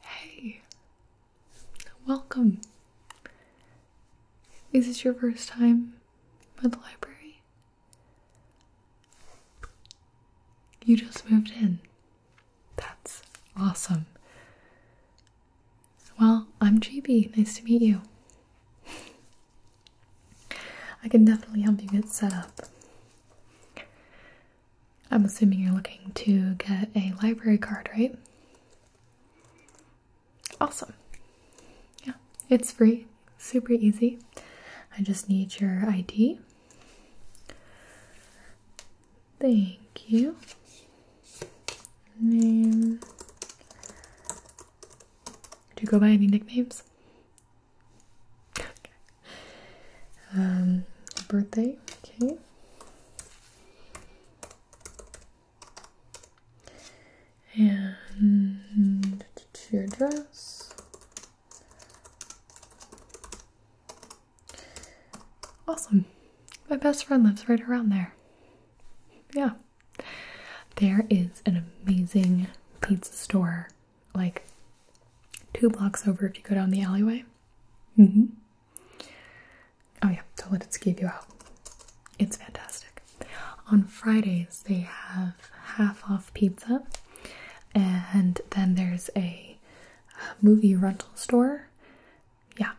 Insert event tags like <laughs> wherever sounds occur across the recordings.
Hey, welcome. Is this your first time at the library? You just moved in. That's awesome. Well, I'm GB. Nice to meet you. I can definitely help you get set up. I'm assuming you're looking to get a library card, right? Awesome. Yeah, it's free, super easy. I just need your ID. Thank you. Name. Do you go by any nicknames? <laughs> Um, birthday, okay. And your dress. Awesome. My best friend lives right around there. Yeah. There is an amazing pizza store like two blocks over if you go down the alleyway. Mm-hmm. Oh yeah, don't let it Toliditsky you Out. It's fantastic. On Fridays, they have half off pizza, and then there's a movie rental store. Yeah.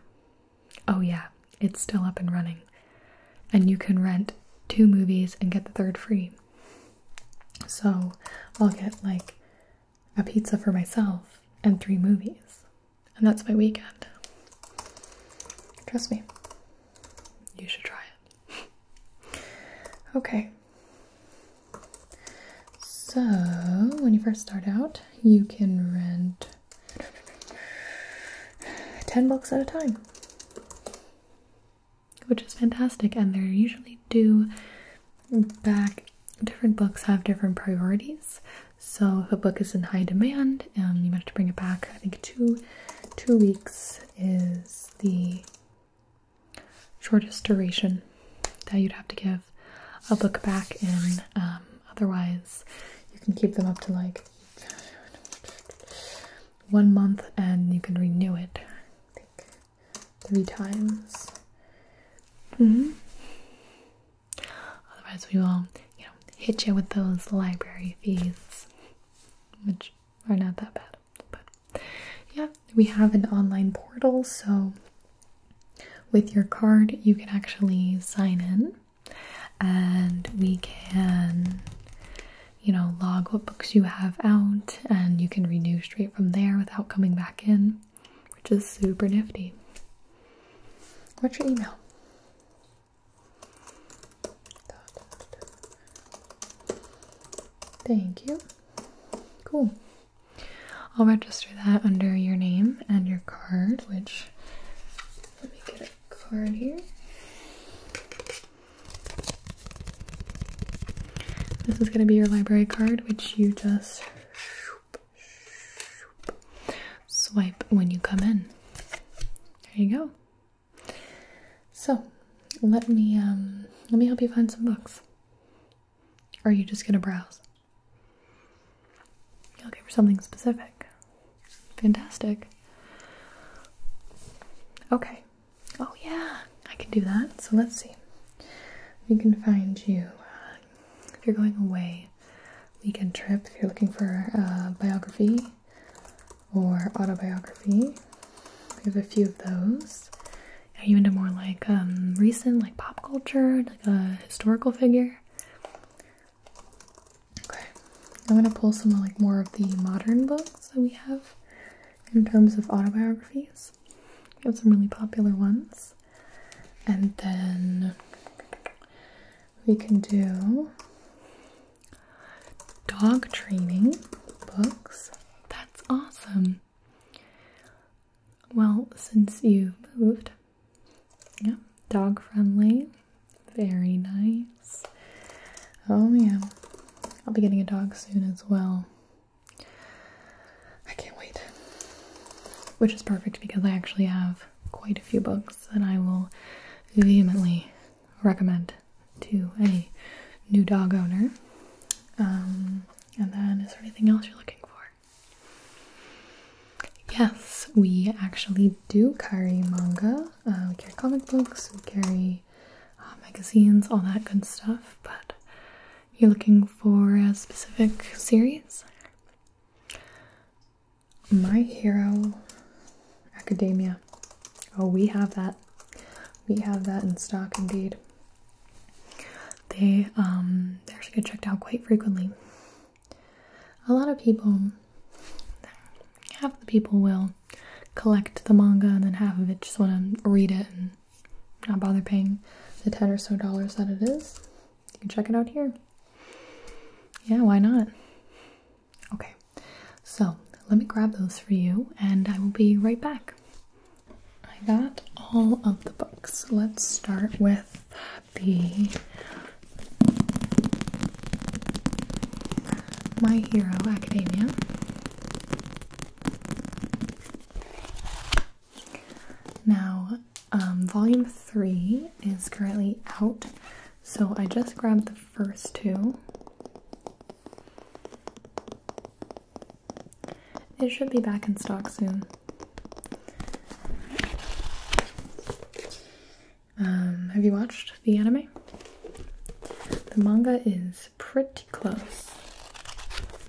Oh, yeah, it's still up and running. And you can rent two movies and get the third free. So I'll get like a pizza for myself, and three movies. And that's my weekend. Trust me, you should try it. <laughs> okay. So, when you first start out, you can rent 10 bucks at a time, which is fantastic. And they're usually do back different books have different priorities so if a book is in high demand and you might have to bring it back i think two two weeks is the shortest duration that you'd have to give a book back in um, otherwise you can keep them up to like one month and you can renew it three times. Mm-hmm. Otherwise, we will, you know, hit you with those library fees, which are not that bad. But yeah, we have an online portal, so with your card, you can actually sign in and we can you know log what books you have out and you can renew straight from there without coming back in which is super nifty. What's your email? Thank you. Cool. I'll register that under your name and your card, which let me get a card here. This is going to be your library card, which you just Swipe when you come in. There you go. So, let me um, let me help you find some books. are you just gonna browse? you looking for something specific. Fantastic. Okay. Oh yeah. I can do that. So let's see. We can find you uh, if you're going away, weekend trip. If you're looking for a biography or autobiography, we have a few of those. Are you into more like um, recent, like pop culture, like a historical figure? Okay, I'm gonna pull some like more of the modern books that we have in terms of autobiographies. We have some really popular ones. And then we can do dog training books. That's awesome. Well, since you moved, yeah, dog friendly, very nice. Oh, yeah, I'll be getting a dog soon as well. I can't wait. Which is perfect because I actually have quite a few books that I will vehemently recommend to any new dog owner. Um, and then, is there anything else you're looking for? Yes, we actually do carry manga. Uh, we carry comic books, we carry uh, magazines, all that good stuff. But you're looking for a specific series? My Hero Academia. Oh, we have that. We have that in stock indeed. They um they actually get checked out quite frequently. A lot of people half the people will collect the manga and then half of it just wanna read it and not bother paying the 10 or so dollars that it is. You can check it out here. Yeah, why not? Okay, so let me grab those for you and I will be right back. I got all of the books. Let's start with the My Hero Academia. Now, um, volume three is currently out, so I just grabbed the first two. It should be back in stock soon. Um, have you watched the anime? The manga is pretty close.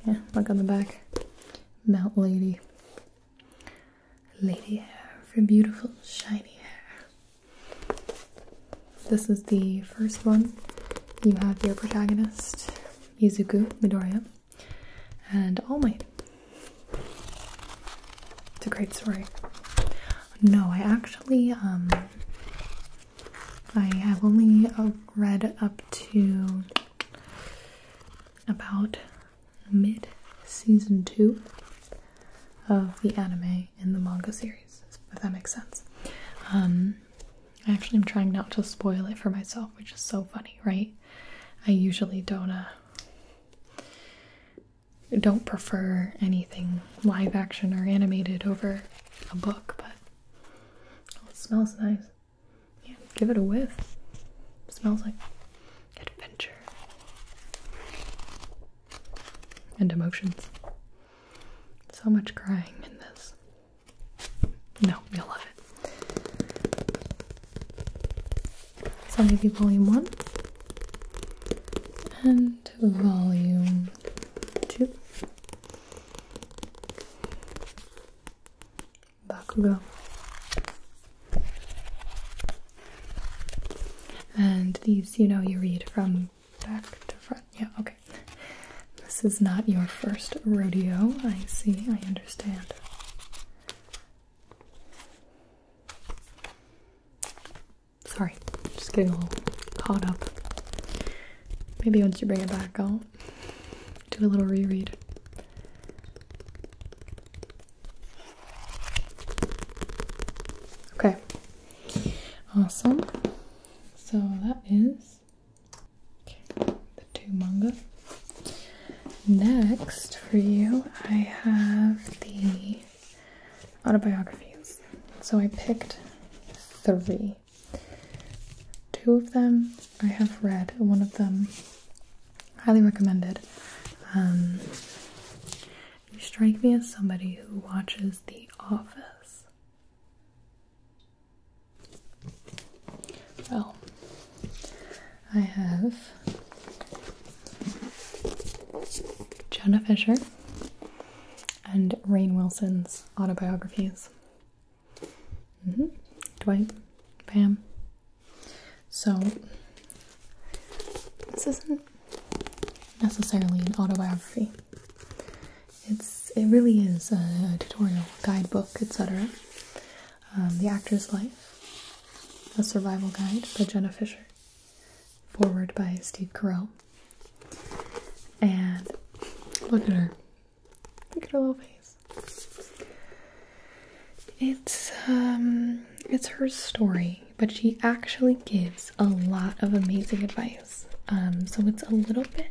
Yeah, look on the back. Mount Lady. Lady hair for beautiful shiny hair. This is the first one. You have your protagonist, Yuzuku Midoriya, and All oh Might. It's a great story. No, I actually, um, I have only uh, read up to about mid season two of the anime and the manga series, if that makes sense. Um, I actually am trying not to spoil it for myself, which is so funny, right? I usually don't uh, don't prefer anything live action or animated over a book, but it smells nice. Yeah, give it a whiff. smells like adventure and emotions. So much crying in this. No, you'll love it. So maybe volume one and volume two. Back Bakugo. And these, you know, you read from back to front. Yeah, okay. This is not your first rodeo. I see, I understand. Sorry, just getting all caught up. Maybe once you bring it back out, do a little reread. Okay. Awesome. So that is the two manga. Next for you, I have the autobiographies. So I picked three. Two of them I have read one of them. Highly recommended. Um, you strike me as somebody who watches The Office. Well, I have Jenna Fisher and Rain Wilson's autobiographies. Mm-hmm. Dwight, Pam. So this isn't necessarily an autobiography. It's it really is a, tutorial, guidebook, etc. Um, the actor's life, a survival guide by Jenna Fisher, forward by Steve Carell, and look at her. Look at her little face. It's um it's her story, but she actually gives a lot of amazing advice. Um, so it's a little bit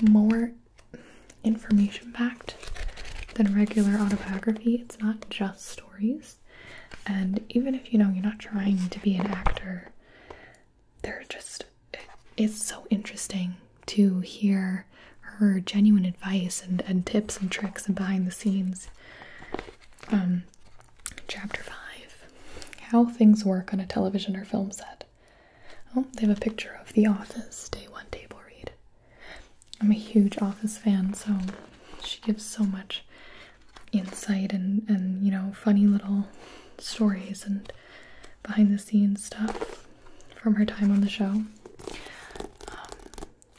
more information packed than regular autobiography. It's not just stories. And even if you know you're not trying to be an actor, they are just it's so interesting to hear her genuine advice and, and tips and tricks and behind the scenes. Um, chapter 5 How Things Work on a Television or Film Set. Oh, they have a picture of The Office, day one table read. I'm a huge Office fan, so she gives so much insight and, and you know, funny little stories and behind the scenes stuff from her time on the show. Um,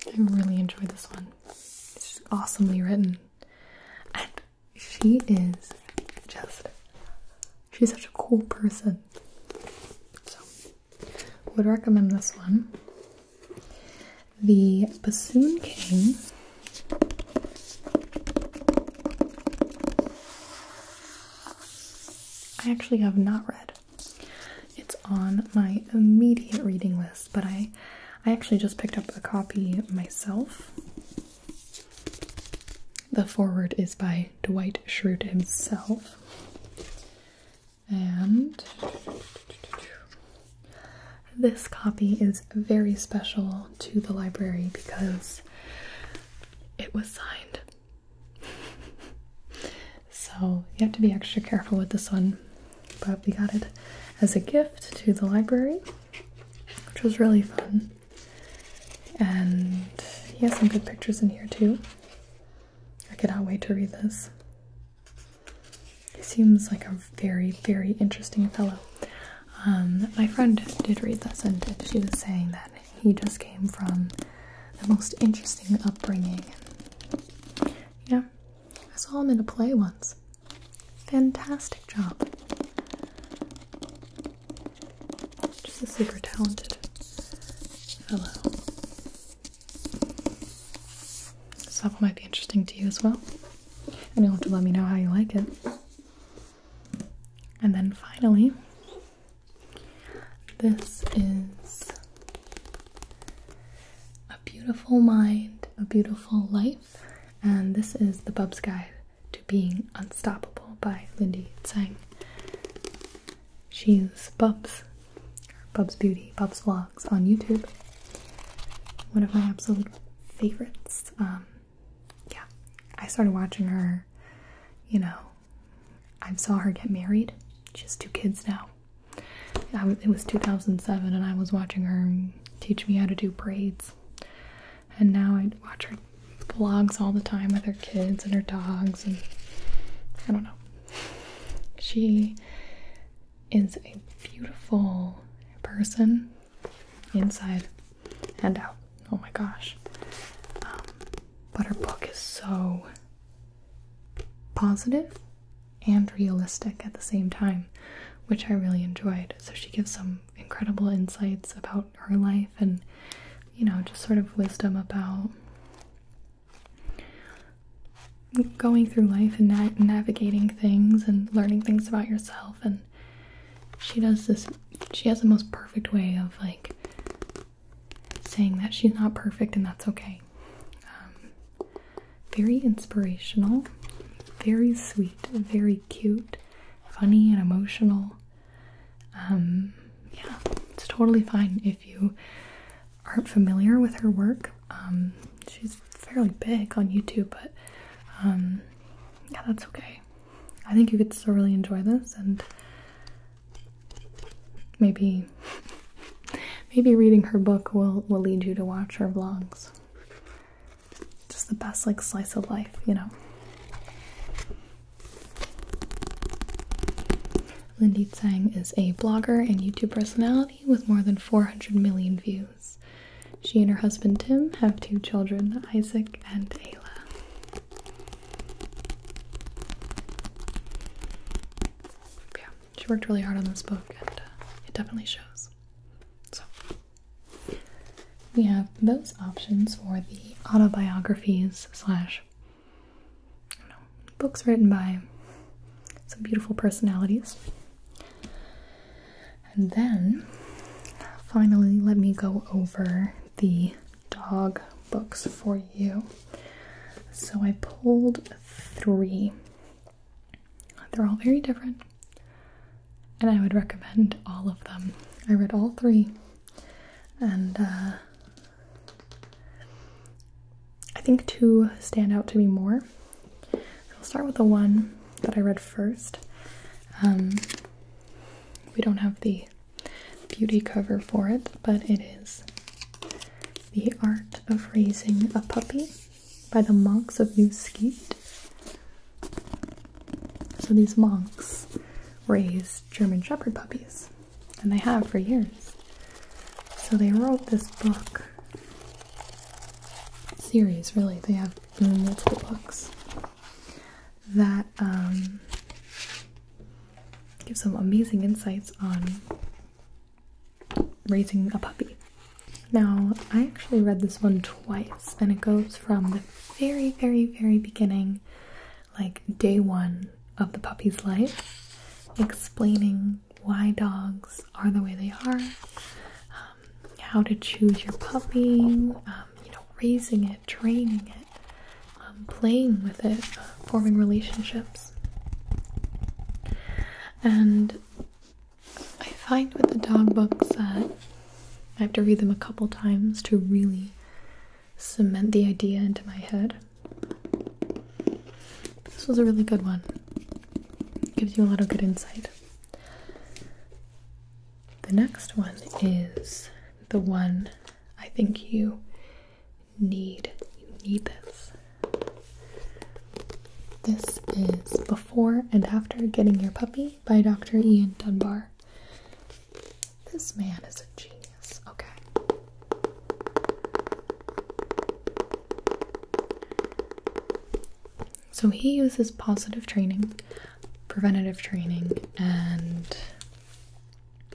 I really enjoyed this one. It's awesomely written. And she is just, she's such a cool person. So, would recommend this one. The Bassoon King. I actually have not read. It's on my immediate reading list, but I I actually just picked up a copy myself. The forward is by Dwight Schrute himself. And this copy is very special to the library because it was signed so you have to be extra careful with this one. But we got it as a gift to the library, which was really fun. And he has some good pictures in here too. I cannot wait to read this. He seems like a very, very interesting fellow. Um, my friend did read this, and she was saying that he just came from the most interesting upbringing. Yeah, I saw him in a play once. Fantastic job. Just a super talented fellow. So that might be interesting to you as well. And you'll have to let me know how you like it. And then finally, this is A Beautiful Mind, A Beautiful Life, and this is The Bub's Guide to Being Unstoppable by Lindy Tsang. She's Bubs, Bubs Beauty, Bubs Vlogs on YouTube. One of my absolute favorites. Um, yeah, I started watching her, you know, I saw her get married. She has two kids now. it was 2007, and I was watching her teach me how to do braids. And now I watch her vlogs all the time with her kids and her dogs, and I don't know. She is a beautiful person inside and out. Oh my gosh. Um, but her book is so positive and realistic at the same time, which I really enjoyed. So she gives some incredible insights about her life and, you know, just sort of wisdom about going through life and navigating things and learning things about yourself and she does this she has the most perfect way of like saying that she's not perfect and that's okay. Um, very inspirational, very sweet, very cute, funny, and emotional. Um, yeah, it's totally fine if you aren't familiar with her work. Um, she's fairly big on YouTube, but yeah, that's okay. I think you could still really enjoy this, and Maybe maybe reading her book will will lead you to watch her vlogs. Just the best like slice of life, you know. Lindy Tsang is a blogger and YouTube personality with more than 400 million views. She and her husband Tim have two children, Isaac and Ayla. Yeah, she worked really hard on this book, and uh, it definitely shows. So, we have those options for the autobiographies slash books written by some beautiful personalities. And then, finally, let me go over the dog books for you. So I pulled three. They're all very different, and I would recommend all of them. I read all three, and uh, I think two stand out to me more. I'll start with the one that I read first. Um, we don't have the beauty cover for it, but it is The Art of Raising a Puppy by the monks of New So these monks raise German Shepherd puppies, and they have for years. So they wrote this book series, really. They have multiple books that um, give some amazing insights on raising a puppy. Now, I actually read this one twice, and it goes from the very, very, very beginning, like day one of the puppy's life, explaining why dogs are the way they are, um, how to choose your puppy, um, you know, raising it, training it. Um, playing with it, uh, forming relationships. And I find with the dog books that I have to read them a couple times to really cement the idea into my head. This was a really good one. Gives you a lot of good insight. The next one is the one I think you need you need this. This is Before and After Getting Your Puppy by Dr. Ian Dunbar. This man is a genius. Okay. So he uses positive training, preventative training, and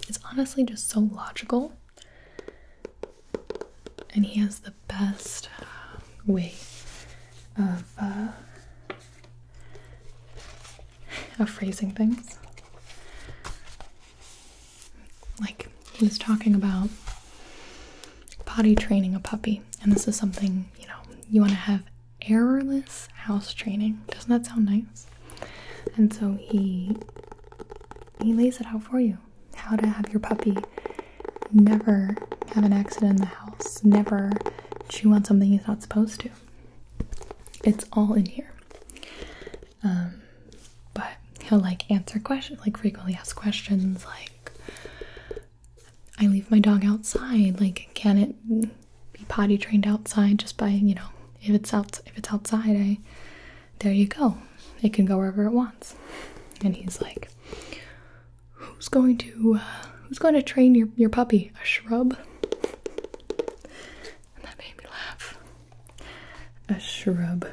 it's honestly just so logical and he has the best way of uh, of phrasing things. Like he was talking about potty training a puppy, and this is something you know you want to have errorless house training. Doesn't that sound nice? And so he he lays it out for you how to have your puppy never have an accident in the house, never chew on something he's not supposed to. It's all in here. Um, but he'll like answer questions, like frequently asked questions, like I leave my dog outside, like can it be potty trained outside just by you know if it's out if it's outside I there you go. It can go wherever it wants. And he's like, who's going to uh, who's going to train your your puppy? A shrub? And that made me laugh. A shrub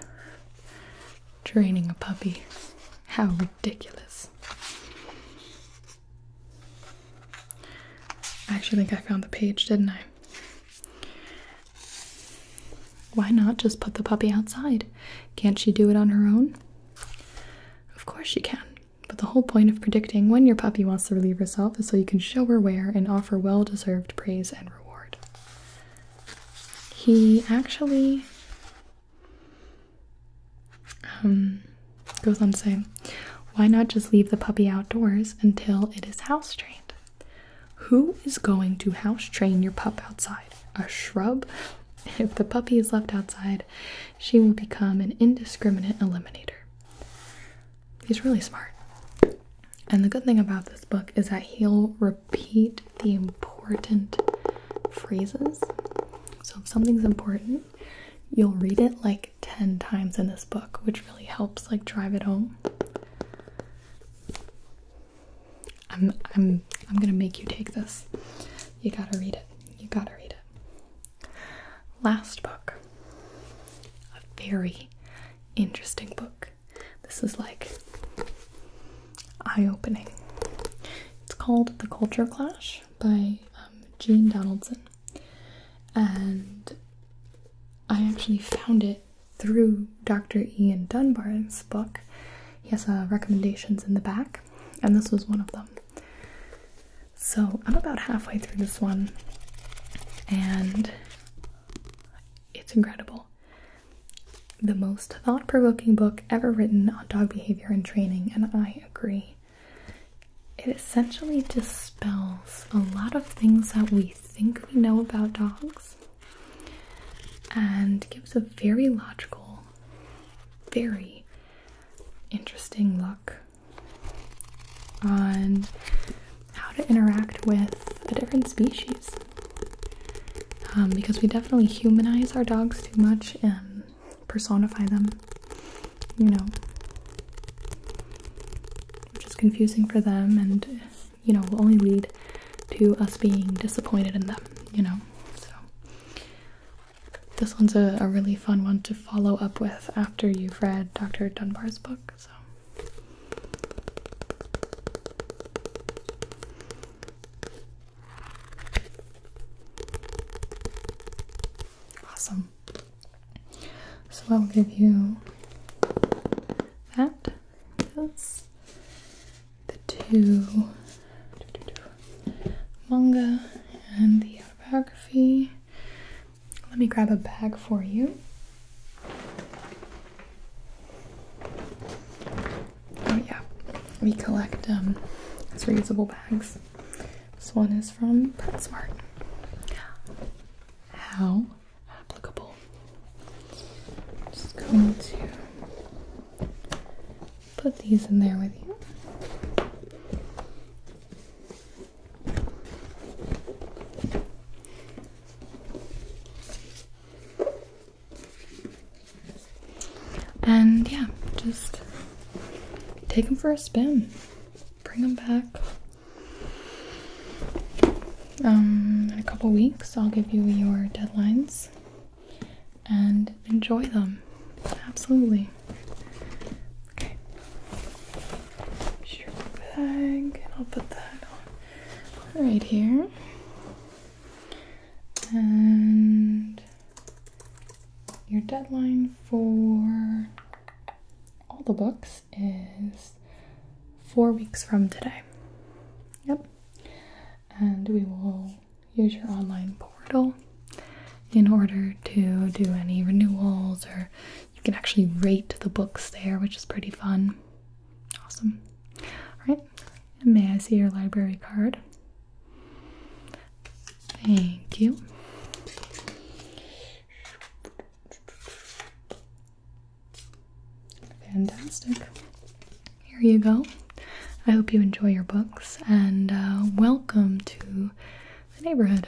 training a puppy. How ridiculous. I actually think I found the page, didn't I? Why not just put the puppy outside? Can't she do it on her own? Of course she can, but the whole point of predicting when your puppy wants to relieve herself is so you can show her where and offer well deserved praise and reward. He actually um, goes on to say, why not just leave the puppy outdoors until it is house trained? Who is going to house train your pup outside? A shrub? <laughs> If the puppy is left outside, she will become an indiscriminate eliminator. He's really smart. And the good thing about this book is that he'll repeat the important phrases. So if something's important, you'll read it like 10 times in this book, which really helps like drive it home. I'm I'm I'm gonna make you take this. You gotta read it. You gotta read it. Last book. A very interesting book. This is like eye-opening. It's called The Culture Clash by um, Gene Donaldson. And I actually found it through Dr. Ian Dunbar's book. He has uh, recommendations in the back, and this was one of them. So I'm about halfway through this one, and it's incredible. The most thought provoking book ever written on dog behavior and training, and I agree. It essentially dispels a lot of things that we think we know about dogs and gives a very logical, very interesting look on how to interact with a different species. Um, because we definitely humanize our dogs too much and personify them, you know, which is confusing for them and you know, will only lead to us being disappointed in them, you know? So, this one's a, really fun one to follow up with after you've read Dr. Dunbar's book, so. Awesome. So I'll give you that. That's the two manga and the autobiography. Let me grab a bag for you. Oh yeah, we collect um, reusable bags. This one is from PetSmart. How applicable. just going to put these in there with you. And yeah, just take them for a spin. Bring them back. Um, in a couple weeks, I'll give you your deadlines and enjoy them. Absolutely. Okay. your bag, I'll put that right here. And your deadline for all the books is four weeks from today. Yep. And we will use your online portal in order to do any renewals, or you can actually rate the books there, which is pretty fun. Awesome. All right. may I see your library card? Thank you. Fantastic. Here you go. I hope you enjoy your books and uh, welcome to the neighborhood.